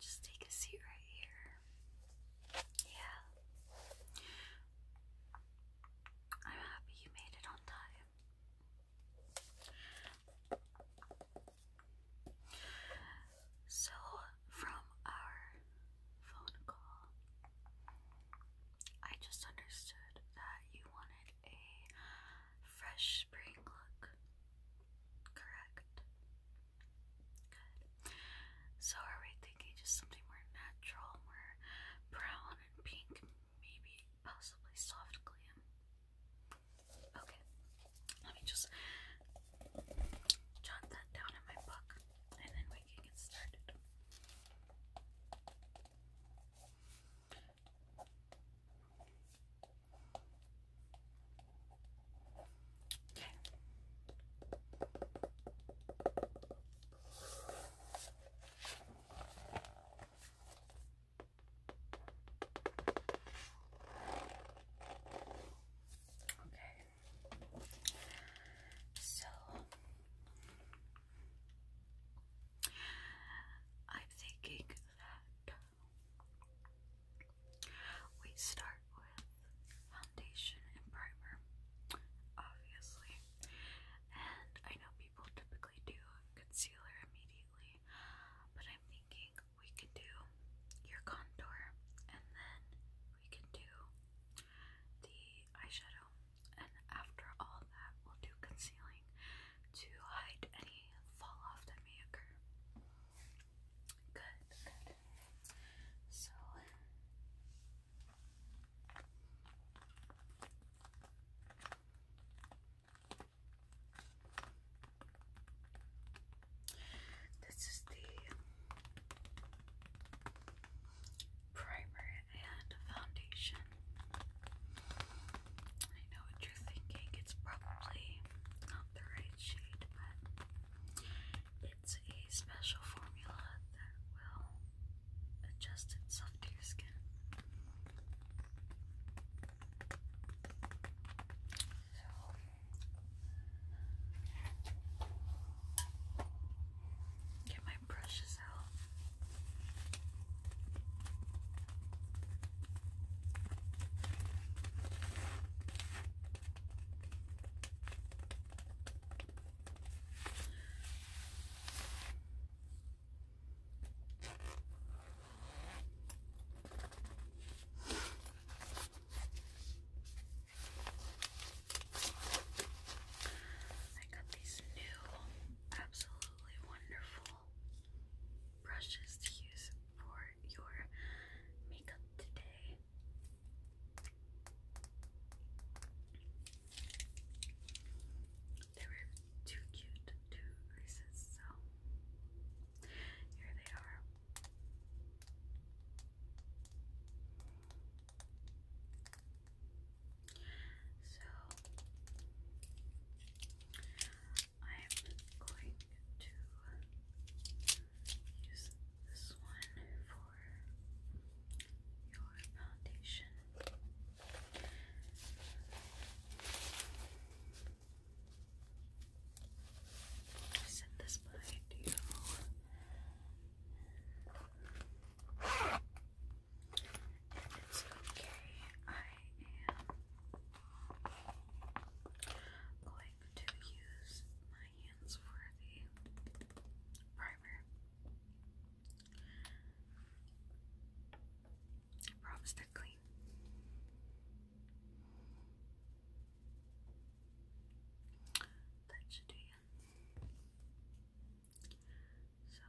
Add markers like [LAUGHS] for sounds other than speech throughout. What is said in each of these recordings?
Just take a seat right here. Yeah. I'm happy you made it on time. So, from our phone call, I just understood that you wanted a fresh spring look, correct? Good. So, are we thinking just something more natural, more brown fawn and pink, maybe possibly soft glam. Okay, let me just jot that down in my book and then we can get started. Okay. Okay. So I'm thinking that we start with foundation and primer, obviously. And I know people typically do concealer immediately, but I'm thinking we could do your contour and then we can do the eyeshadow. And after all that, we'll do concealing to hide any fall off that may occur. good. So, this is the primer and foundation. I know what you're thinking, it's probably not the right shade, but it's a special formula that will adjust itself to your skin. get my brushes out. I got these new, absolutely wonderful brushes to use for your makeup today. They were too cute to resist, so here they are. So I'm going to use this one for your foundation. Set this behind you. And it's okay. I am going to use my hands for the primer. I promise clean. That should do you. So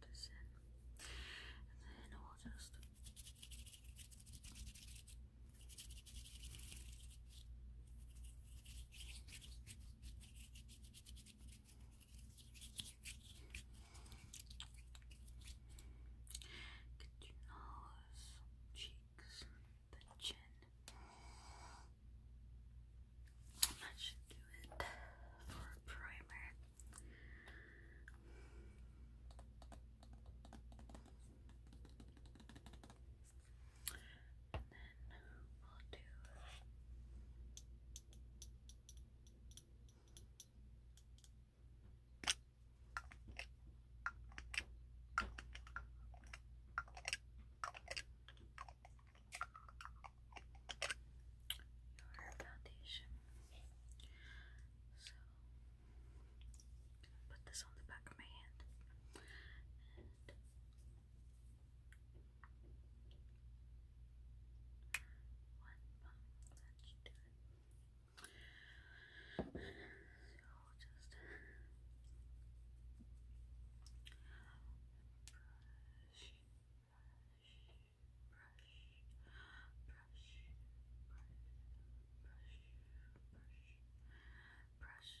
just rub this in, and then we'll just Get your nose, cheeks, the chin. That should do it for a primer. Okay. And then we'll do your foundation. So Put this on the back of my hand. So just brush. Brush, brush, brush, brush, brush, brush,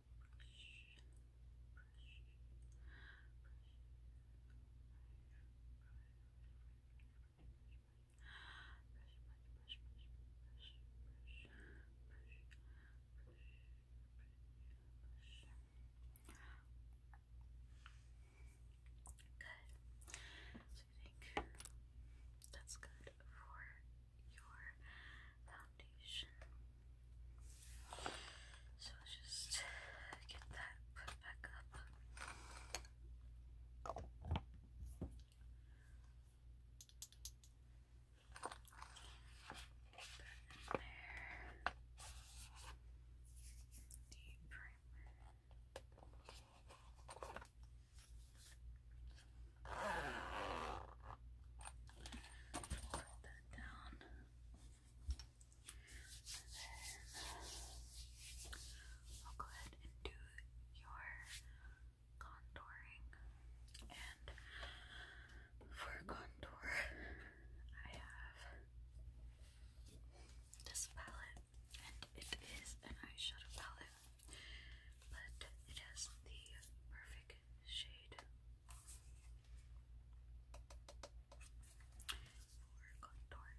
so I think that's good for your um, foundation. So let's just get that put back up. Put in there. The primer. Put that down. And then I'll go ahead and do your contouring. And for contour, I have this palette, and it is an eyeshadow palette, but it has the perfect shade for contouring.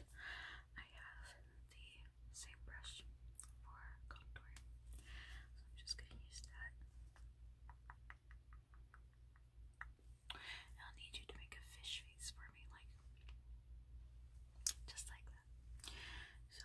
And I have the same brush for contouring. So I'm just going to use that. I'll need you to make a fish face for me, like just like that. So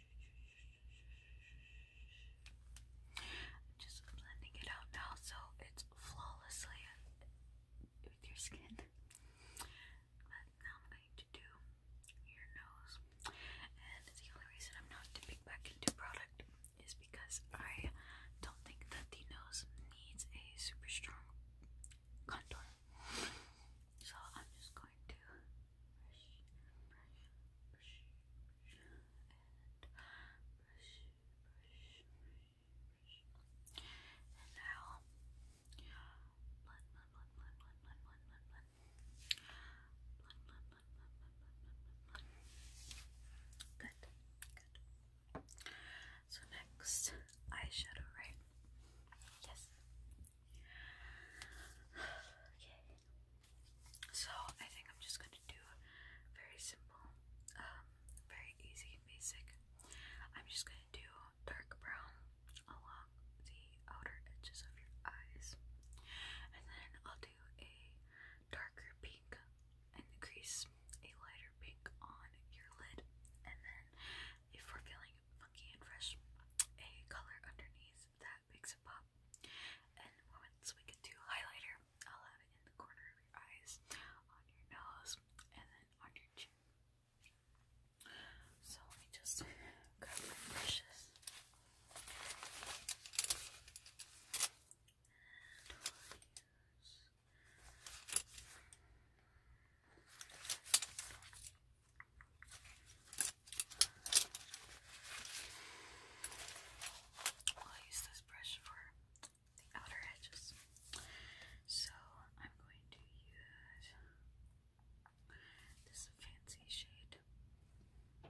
I'm just blending it out now so it's flawlessly with your skin. But now I'm going to do your nose. And the only reason I'm not dipping back into product is because I don't think that the nose needs a super strong contour. So I'm just going to brush, brush, brush, brush, and brush, brush, brush, brush. And now, blend, blend, blend, blend, blend, blend, blend, blend, blend, blend, blend, blend, blend, blend, blend, Good, good. So next, eyeshadow, right? Yes. [SIGHS] Okay. So I think I'm just gonna do very simple, um, very easy and basic. I'm just gonna do dark brown along the outer edges of your eyes. And then I'll do a darker pink and crease a lighter pink on your lid. And then if we're feeling funky and fresh, a color underneath that makes it pop. And once we get to highlighter, I'll have it in the corner of your eyes, on your nose, and then on your chin. So let just grab my brushes. I'll use this brush for the outer edges. So I'm going to use this fancy shade. And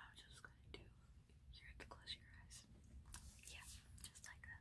I'm just gonna do here to close your eyes. Yeah, just like that.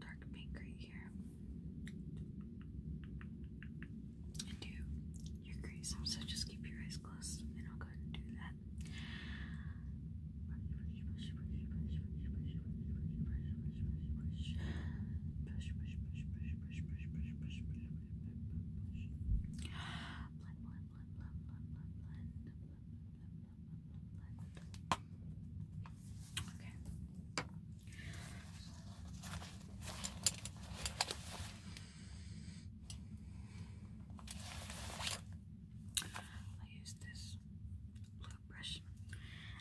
dark pink right here do your creasing. So just keep your eyes closed I'll go ahead and do that. Okay. I use this blue brush,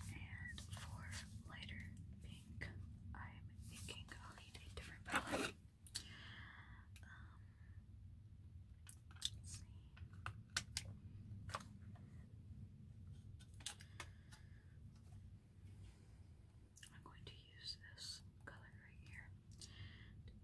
and for lighter pink, I'm thinking I'll need a different palette. Um, let's see. I'm going to use this color right here. Okay,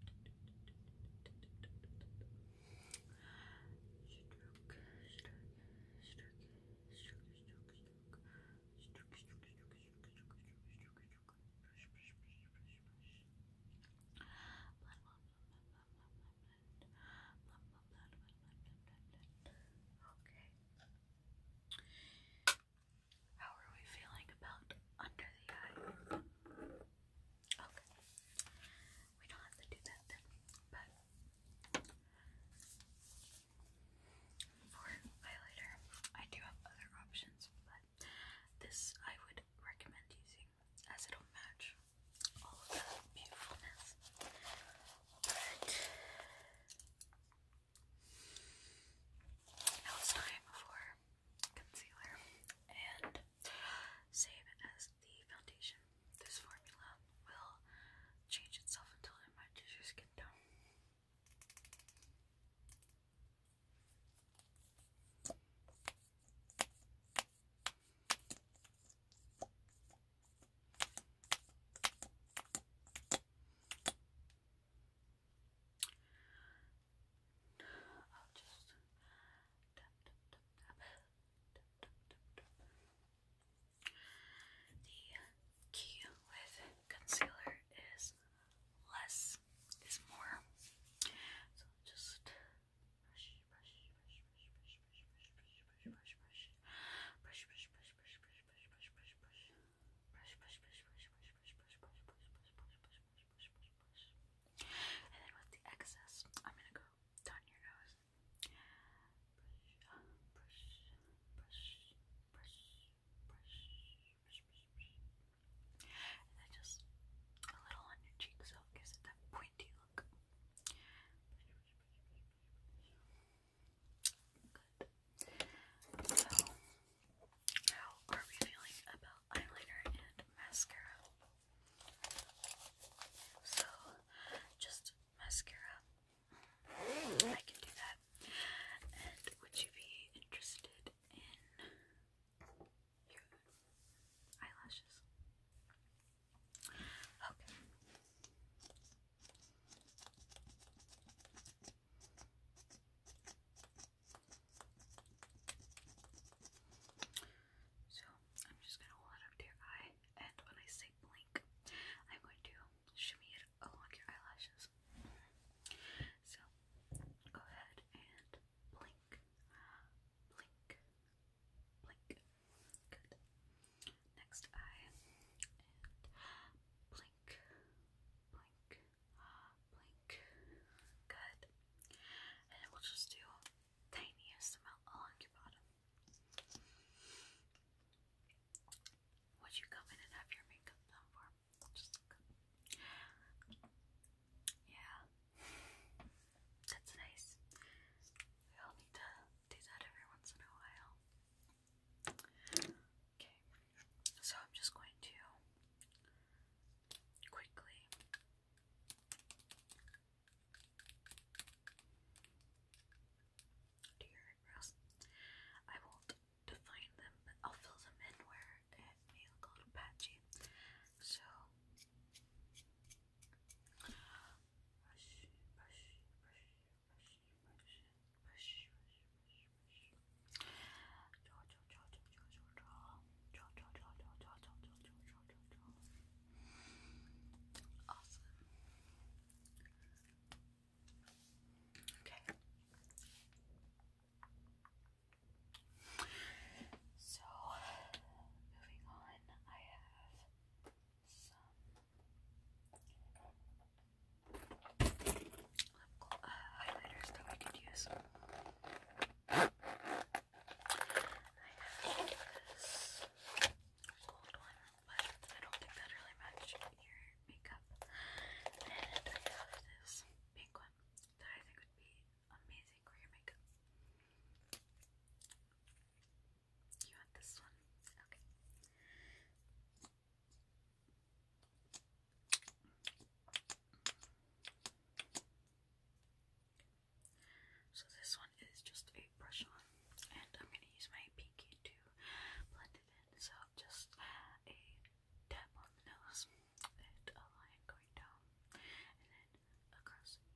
how are we feeling about under the eye? Okay. We don't have to do that then, but for highlighter, I do have other options, but this I would recommend using as it'll match all the beautifulness but now it's time for concealer and same as the foundation. This formula will change itself until it matches your skin tone. I'll just The key with concealer is less is more. So just brush, brush, brush, brush, brush, and then with the excess, I'm gonna go down your nose. and then just a little on your cheek so it it that pointy look. Good. So, how are we feeling about eyeliner and mascara? So, just mascara. I can do that. And would you be interested in your eyelashes? Okay. So I'm just gonna hold it up to your eye, and when I say blink, I'm going to shimmy it along your eyelashes. So go ahead and blink, blink, blink. Good. Next eye and blink, blink, blink. Good. And we'll just do tiniest amount along your bottom. Would you come in and have your makeup done for? Just Yeah. [LAUGHS] That's nice. We all need to do that every once in a while. Okay, so I'm just going to quickly do your eyebrows. I won't define them, but I'll fill them in where it may look a little patchy. So, brush, brush, brush, brush, brush, brush, brush, draw, draw, draw, draw, draw, draw, draw, draw, draw, draw, draw, draw, draw, draw, draw, draw, awesome. Okay. So, moving on, I have some uh, highlighters that we could use. I have this gold one, but I don't think that really matches your makeup. And I have this pink one that I think would be amazing for your makeup. You want this one? Okay. So this one is just a brush on, and I'm gonna use my pinky to blend it in. So just a tap on the nose and a line going down, and then across your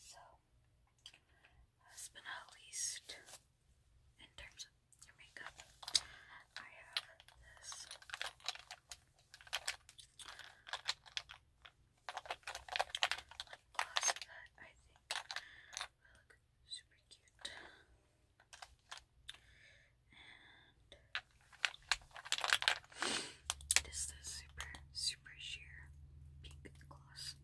So, last but not least, in terms of your makeup, I have this. gloss that I think will look super cute. This is the super, super sheer pink gloss.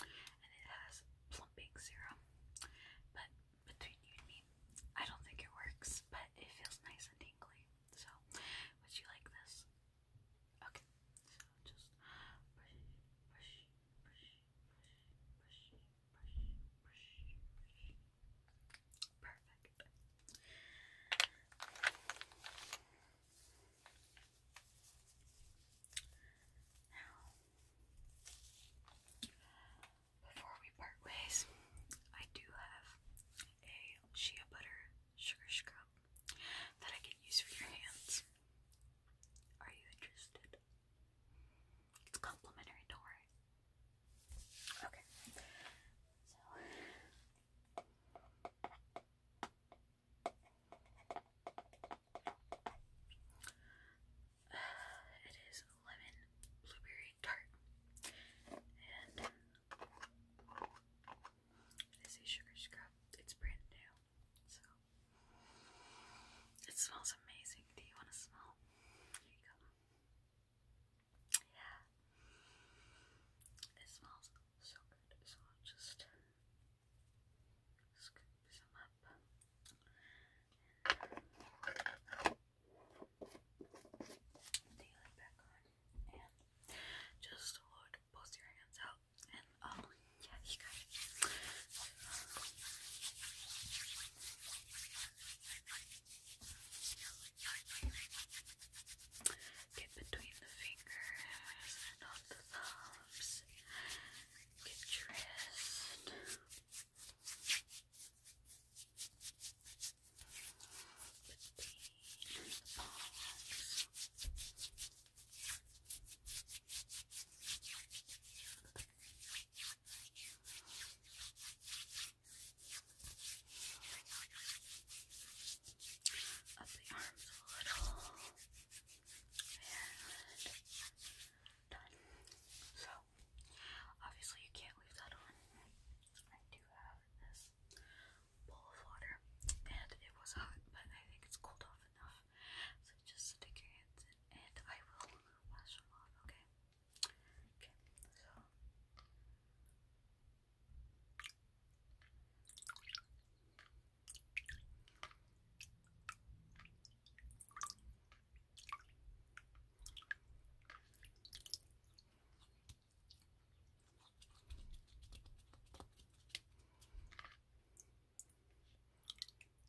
And it has plumping serum. But between you and me, I don't think it works, but it feels nice and tingly. So, would you like this? Okay, so just push, push, push, push, push, Perfect. Now, before we part ways, I do have a shea butter sugar scrub that I can use for your hands. Are you interested? It's complimentary to Okay. So [SIGHS] it is lemon blueberry tart, and um, it is a sugar scrub. It's brand new, so it smells amazing. Do you want to smell? Here you go. Yeah. It smells so good. So I'll just scoop some up. Nail it back on. And just Lord, both your hands out. And oh, yeah, you got it. Get between the fingers and the thumbs. Get your wrist. Between the palms. Up the arms a little. And done. So, obviously, you can't leave that on. I do have this bowl of water, and it was hot, but I think it's cooled off enough. So just stick your hands in and I will wash them off, okay? Okay, so. Okay.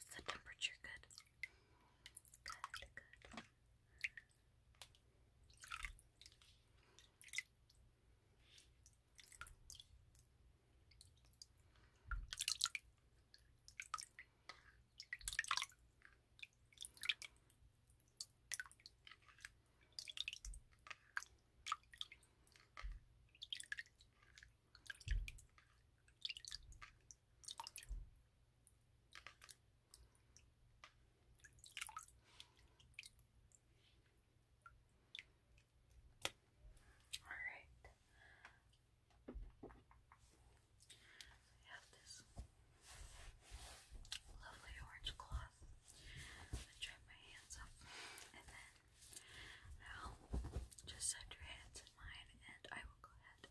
Is the temperature good? Good, good. All right. We have this lovely orange cloth. I dry my hands up and then now, just set your hands in mine, and I will go ahead and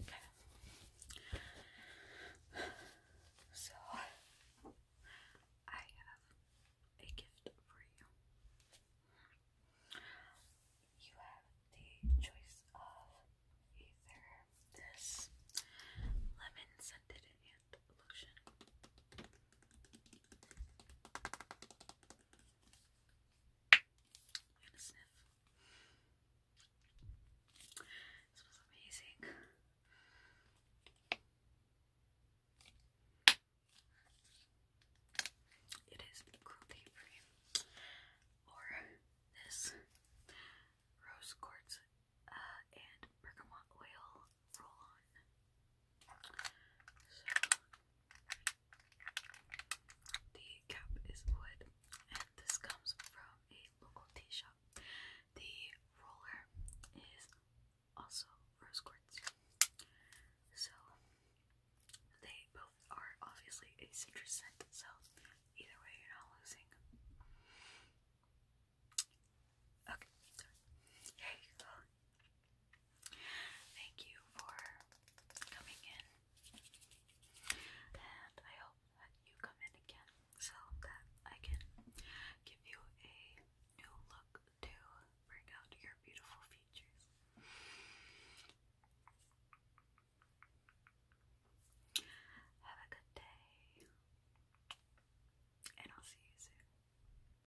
Okay. So I have a gift for you. You have the choice of either this lemon scented hand lotion and a This was amazing. It is croquet cream, or this rose quartz uh, and bergamot oil roll on. So, the cap is wood, and this comes from a local tea shop. The roller is also rose quartz. So, they both are obviously a citrus scent, so either way, you're not losing. Okay, Here you go. Thank you for coming in, and I hope that you come in again so that I can give you a new look to bring out your beautiful features. Have a good day, and I'll see you soon.